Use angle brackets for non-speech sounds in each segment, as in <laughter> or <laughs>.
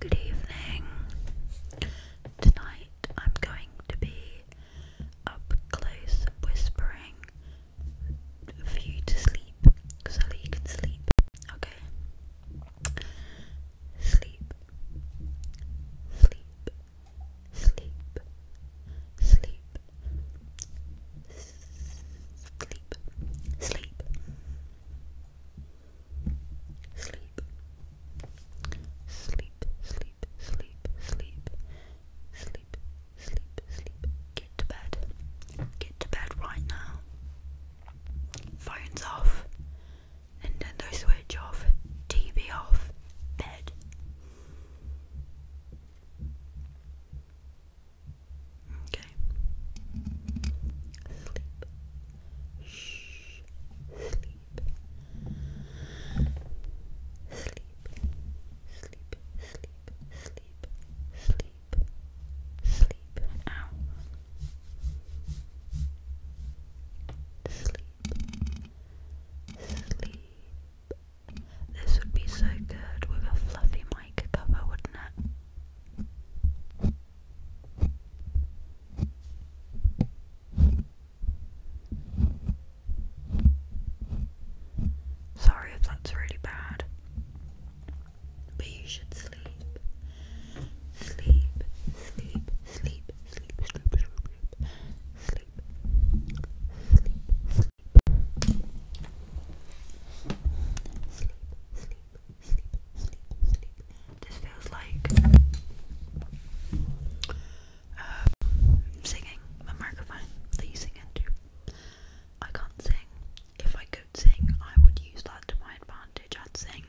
Good evening. Tonight I'm going to be up close whispering for you to sleep so you can sleep. Okay? Sleep. Sleep. Sleep. Sleep. Sleep. Sleep sleep, sleep, sleep, sleep, sleep, sleep, sleep, sleep. Get to bed. Get to bed right now. Phones off. Nintendo Switch off. TV off. Bed. Okay. Sleep. Shh. Sleep. Sleep. Sleep. Sleep. Sleep. Sleep. Sleep. Ow. Sleep. Sleep. This would be so good with a fluffy mic cover, wouldn't it? Sorry if that's really bad, but you should sleep. Sleep, sleep, sleep, sleep, sleep, sleep, sleep, sleep, sleep, sleep, this feels like um, singing my microphone that you sing into. I can't sing. If I could sing, I would use that to my advantage. I'd sing.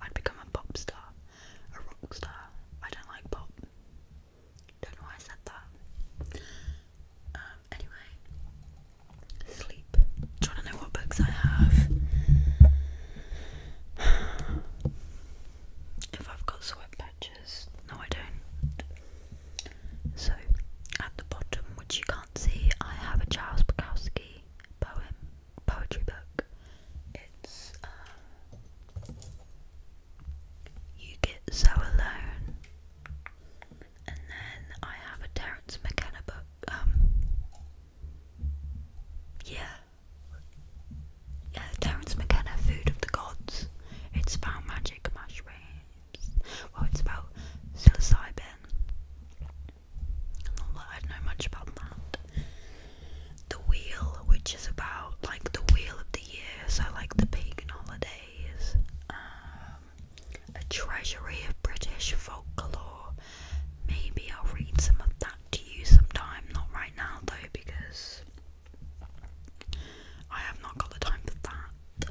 I'd become a pop star, a rock star. I don't like pop. Don't know why I said that. Um, anyway, sleep. i trying to know what books I have. If I've got sweat patches, no, I don't. So, at the bottom, which you can't see, I have a Charles Bukowski poem, poetry book. It's uh, You Get So Alone and then I have a Terence McKenna book. Um, yeah, yeah, Terence McKenna, Food of the Gods. It's about magic mushrooms. Well, it's about psilocybin. I don't know much about that. The Wheel, which is about like the Wheel of the Year, so like the pagan holidays. Uh, a treasury of British folklore. Maybe I'll read some of that to you sometime. Not right now though, because I have not got the time for that.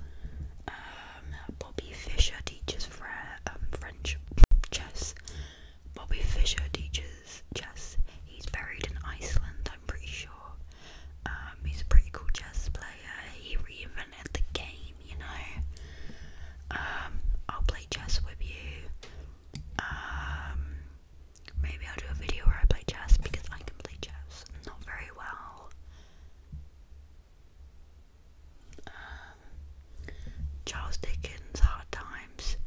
Um, Bobby Fischer teaches um, French chess. Bobby Fischer teaches chess. He's buried in Iceland, I'm pretty sure. Um, he's a pretty cool chess player. He reinvented at the game, you know. Um, I'll play chess with you. Um, maybe I'll do a video where I play chess because I can play chess not very well. Um, Charles Dickens, Hard Times,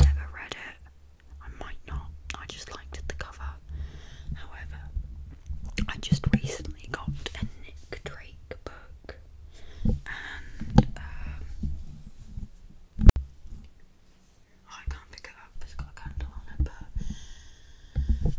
never read it. I might not. I just liked the cover. However, I just recently got a Nick Drake um, I can't pick it up. It's got a candle on it,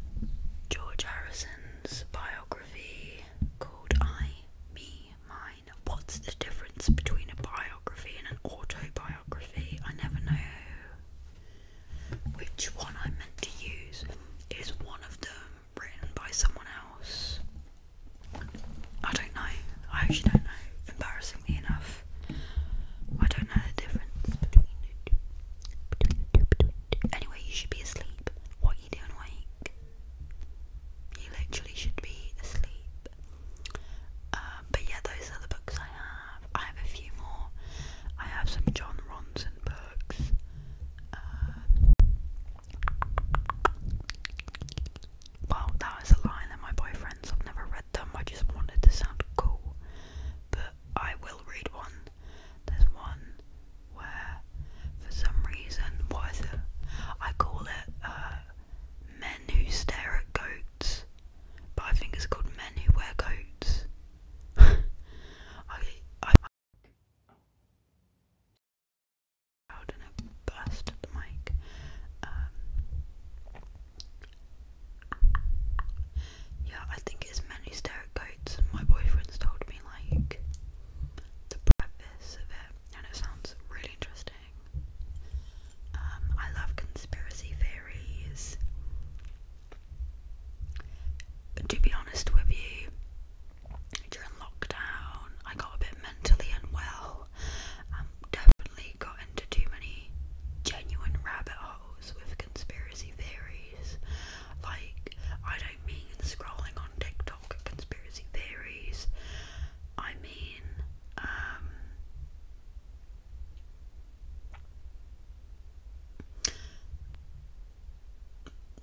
George Harrison's biography called "I, Me, Mine." What's the difference between a biography and an autobiography? I never know which one I meant to use. Is one of them written by someone else. I don't know. I actually don't know. Embarrassingly enough, I don't know the difference Anyway, you should be asleep. What are you doing awake? You literally should be asleep. Um, but yeah, those are the books I have. I have a few more. I have some John Ronson books. Uh, well, that was a line that my boyfriends have never read them. I just wanted to sound cool, but I will read one. There's one where, for some reason, what is it? I call it uh, "Men Who Stare at Goats," but I think it's called "Men Who Wear Coats." <laughs> I um, yeah, I think it's mainly steric coats, my boyfriend's told me like the preface of it, and it sounds really interesting. Um, I love conspiracy theories. To be honest with you, during lockdown, I got a bit mentally unwell. Um, definitely got into too many genuine rabbit holes with conspiracy theories. Like, I don't mean scrolling on TikTok conspiracy theories. I mean, um,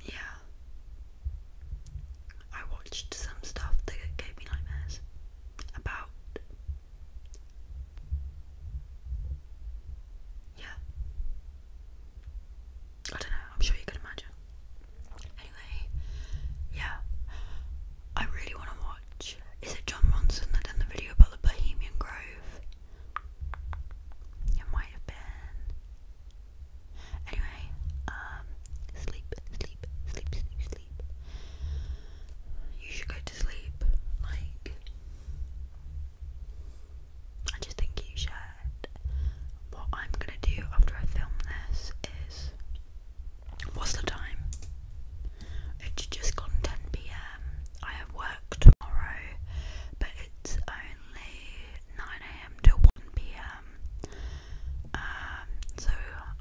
yeah, I watched some stuff that gave me nightmares about. Yeah. I don't know, I'm sure you can imagine. Anyway, yeah. I really want to watch. Is it John Ronson that done the video about the Bohemian Grove? It might have been. Anyway, um, sleep, sleep, sleep, sleep, You should go to sleep. Like, I just think you should. What I'm gonna do after I film this is. What's the time? It's just gone 10 pm. I have work tomorrow, but it's only 9am to 1pm. Um, so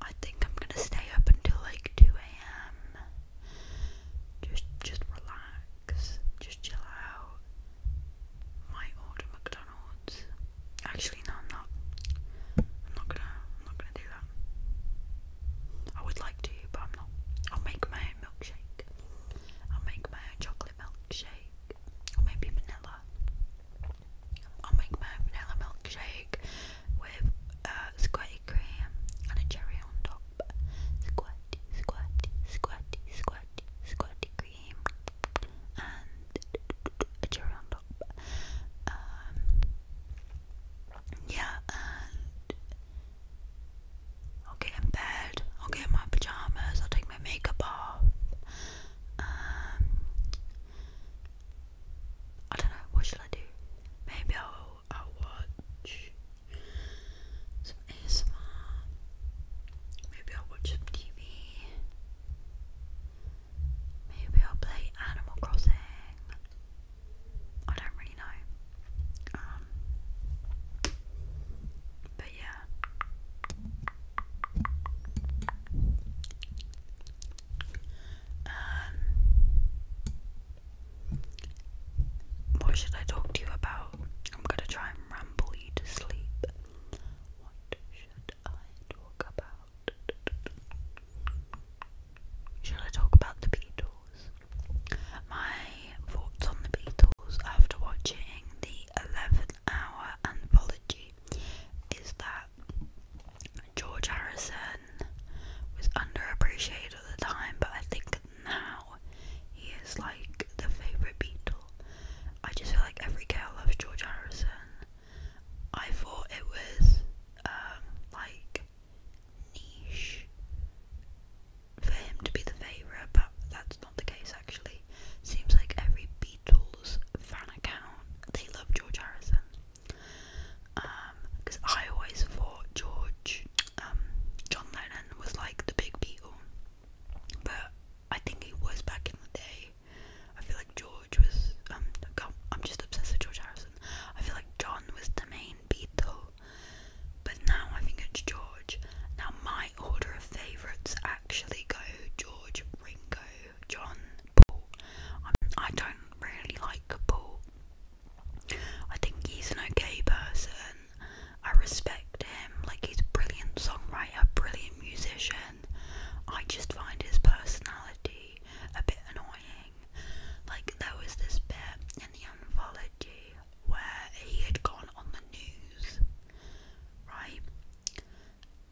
I think I'm gonna stay up until like 2am. Just just relax, just chill out. Might order McDonald's. Actually no i not. I'm not gonna I'm not gonna do that. I would like to but I'm not. I'll make my milkshake. I'll make my chocolate milkshake maybe vanilla. I'll make my vanilla milkshake with uh, cream and a cherry on top. Squirty, squirty, squirty, squirty, squirty cream and a cherry on top. Um, yeah, I'll get in bed, I'll get in my pajamas, I'll take my makeup off. Um, I don't know, what should I do? Maybe I'll, I'll watch some ASMR. Maybe I'll watch some TV. Maybe I'll play Animal Crossing. I don't really know. Um, but yeah. Um, what should I talk to you about? I'm gonna try and ramble you to sleep. What should I talk about? Should I talk about the Beatles? My votes on the Beatles after watching the 11 hour anthology is that George Harrison was underappreciated at the time, but I think now he is like the favourite Beatle. I just feel like every girl loves George Harrison. I thought it was um, like niche for him to be the favourite, but that's not the case actually. Seems like every Beatles fan account they love George Harrison. Because um, I always thought George, um, John Lennon was like the big Beatle, but I think he was back in the day. I feel like George was. Um, God, I'm just obsessed with George Harrison. I feel like John was the main Beatle, but now I think it's George. Now my order of favourites actually go George, Ringo, John, Paul. Um, I don't really like Paul. I think he's an okay person. I respect him. Like he's a brilliant songwriter, brilliant musician. I just find his personality a bit annoying. Like there was this bit in the anthology where he had gone on the news, right?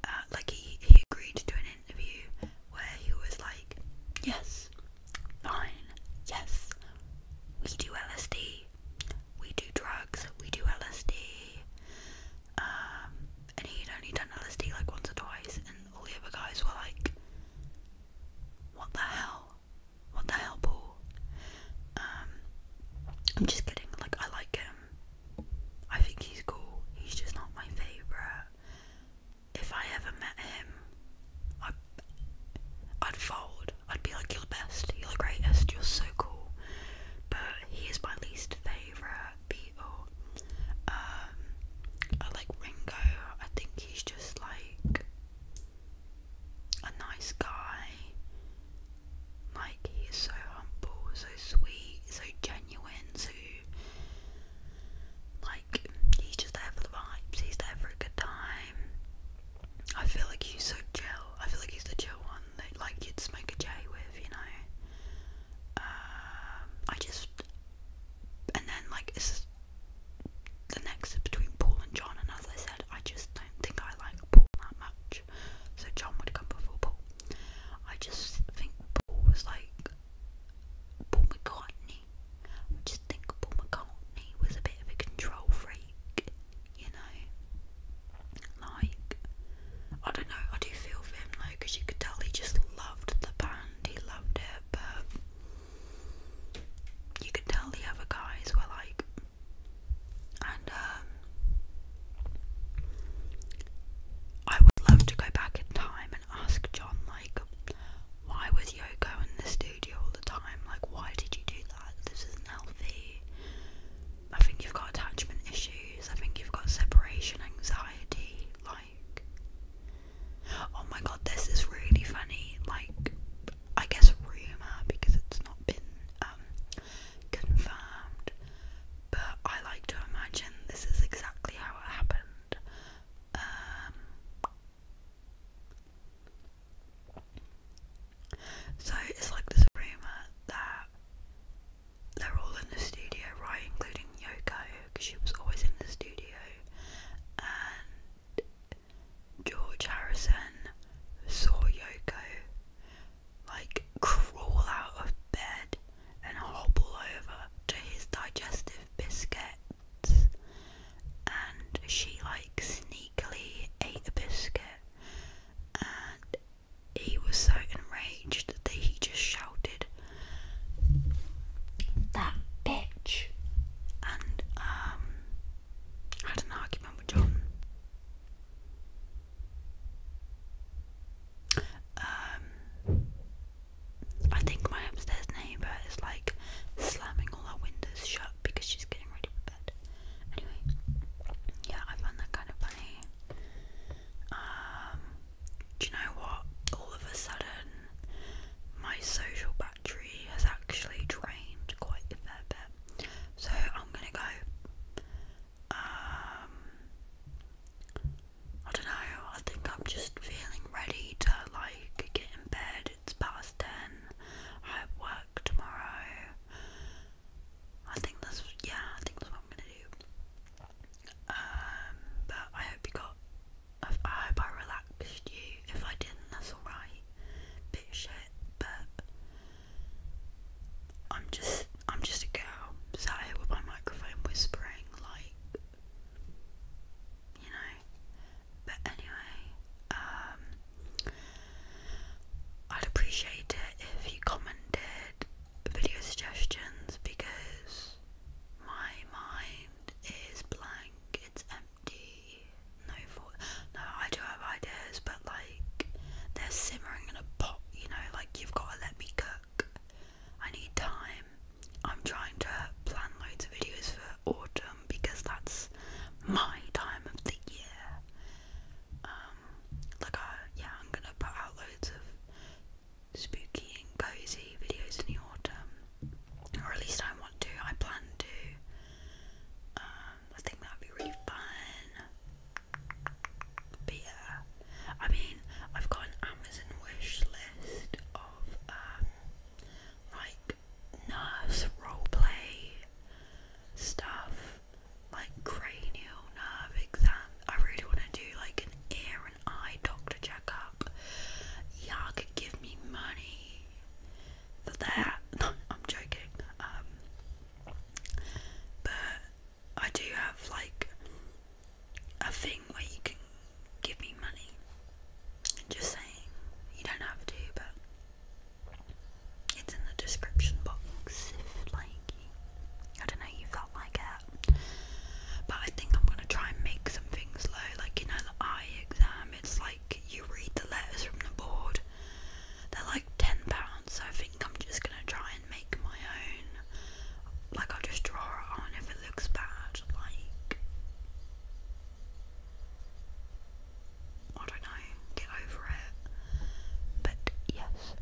Uh, like he, he agreed to an interview where he was like, yes, fine, yes, we do LSD, we do drugs, we do LSD. Um, and he'd only done LSD like once or twice, and all the other guys were like, what the hell? What the hell, Paul? Um, I'm just kidding. Like, I like him. I think he's cool. He's just not my favorite. If I ever met him, I'd, fold. I'd be like, you're the best. You're the greatest. You're so cool. But he is my least favorite Beatle. Um, I like Ringo. I think he's just like a nice guy. Like he is so humble, so sweet, so genuine, so like he's just there for the vibes. He's there for a good time. I feel like he's so chill. I feel like he's the chill one that like you'd smoke a J with, you know. Um, I just and then like the next between Paul and John, and as I said, I just don't think I like so John would come before Paul. I just think Paul was like Paul McCartney. I just think Paul McCartney was a bit of a control freak, you know. Like, I don't know, I do feel for him you could tell he just loved the band, he loved it, but you could tell the other guys were like, and um, I would love to go back in time and ask John, like, why was Yoko in the studio all the time? Like, why did you do that? This isn't I think you've got attachment issues. I think you've got separation anxiety. Like, oh my god, this is really funny. Like, I guess rumour because it's not been um, confirmed, but I like to imagine this is exactly how it happened. Um, so it's like this rumour that they're all in the studio, right? Including Yoko, because she was always in the studio, and George Harrison saw Yoko like crawl out of bed and hobble over to his digestive biscuits, and she like sneakily ate a biscuit, and he was so enraged that he just shouted, "That bitch!" and um, I had an argument with John. Um, I think my upstairs neighbour is like slamming all our windows shut because she's getting ready for bed. Anyway, yeah, I found that kind of funny. Um, do you know what? All of a sudden, my social battery has actually drained quite a fair bit. So I'm gonna go. Um, I don't know. I think I'm just feeling ready to like get in bed. It's past ten. I have work tomorrow. I think that's yeah. I think that's what I'm gonna do. Um, but I hope you got. I hope I relaxed you. If I didn't, that's alright. Bit shit but I'm just I'm just a girl sat here with my microphone whispering like you know. But anyway, um I'd appreciate it if you commented video suggestions because my mind is blank, it's empty no no I do have ideas but like they're simmering in a pot you know like you've got to let me cook I need time I'm trying to plan loads of videos for autumn because that's my time of the year um, like I yeah I'm gonna put out loads of spooky and cozy videos in the autumn or at least I want to I plan to um, I think that would be really fun. But yeah, I mean, I've got an Amazon wish list of um, like nurse roleplay stuff, like cranial nerve exam. I really want to do like an ear and eye doctor checkup. Y'all could give me money for that. <laughs> I'm joking. Um, but I do have like a thing where you can give me money. Just saying, you don't have to, but it's in the description box if like I don't know you felt like it. But I think I'm gonna try and make some things low, like you know the eye exam. It's like you read the letters from the board. They're like ten pounds, I think I'm just gonna try and make my own. Like I'll just draw it on if it looks bad, like I don't know, get over it. But yes.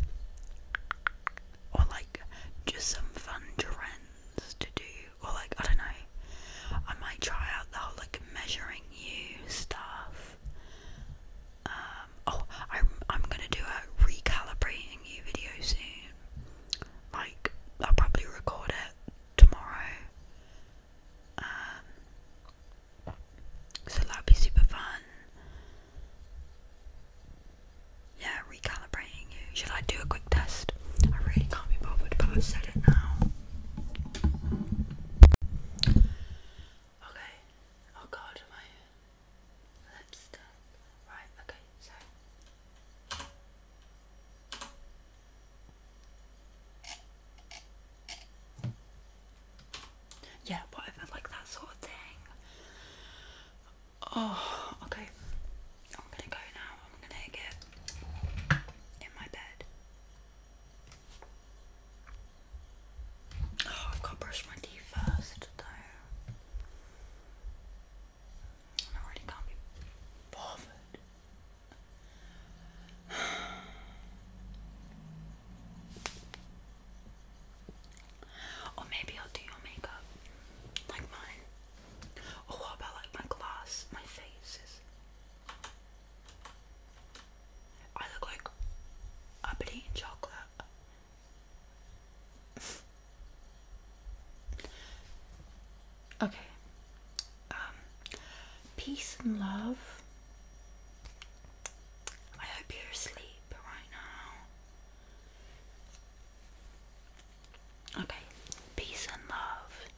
Or like just some fun trends to do. Or like I don't know. I might try out the whole like measuring new stuff. Um, oh, I'm I'm gonna do a recalibrating you video soon. Like I'll probably record it tomorrow. Um, so that'll be super fun. Yeah, recalibrating you. Should I do a quick test? I really can't be bothered, but I've said it now. Okay. Oh god, my lips done. Right, okay, so yeah, whatever, like that sort of thing. Oh, okay. I'm gonna go now. I'm gonna get in my bed. Oh, I've got to brush my teeth first, though. I really can't be bothered. <sighs> or maybe I'll do your makeup, like mine. Or what about like my glass, my faces? I look like I've been chocolate. okay. Um, peace and love. I hope you're asleep right now. Okay. Peace and love.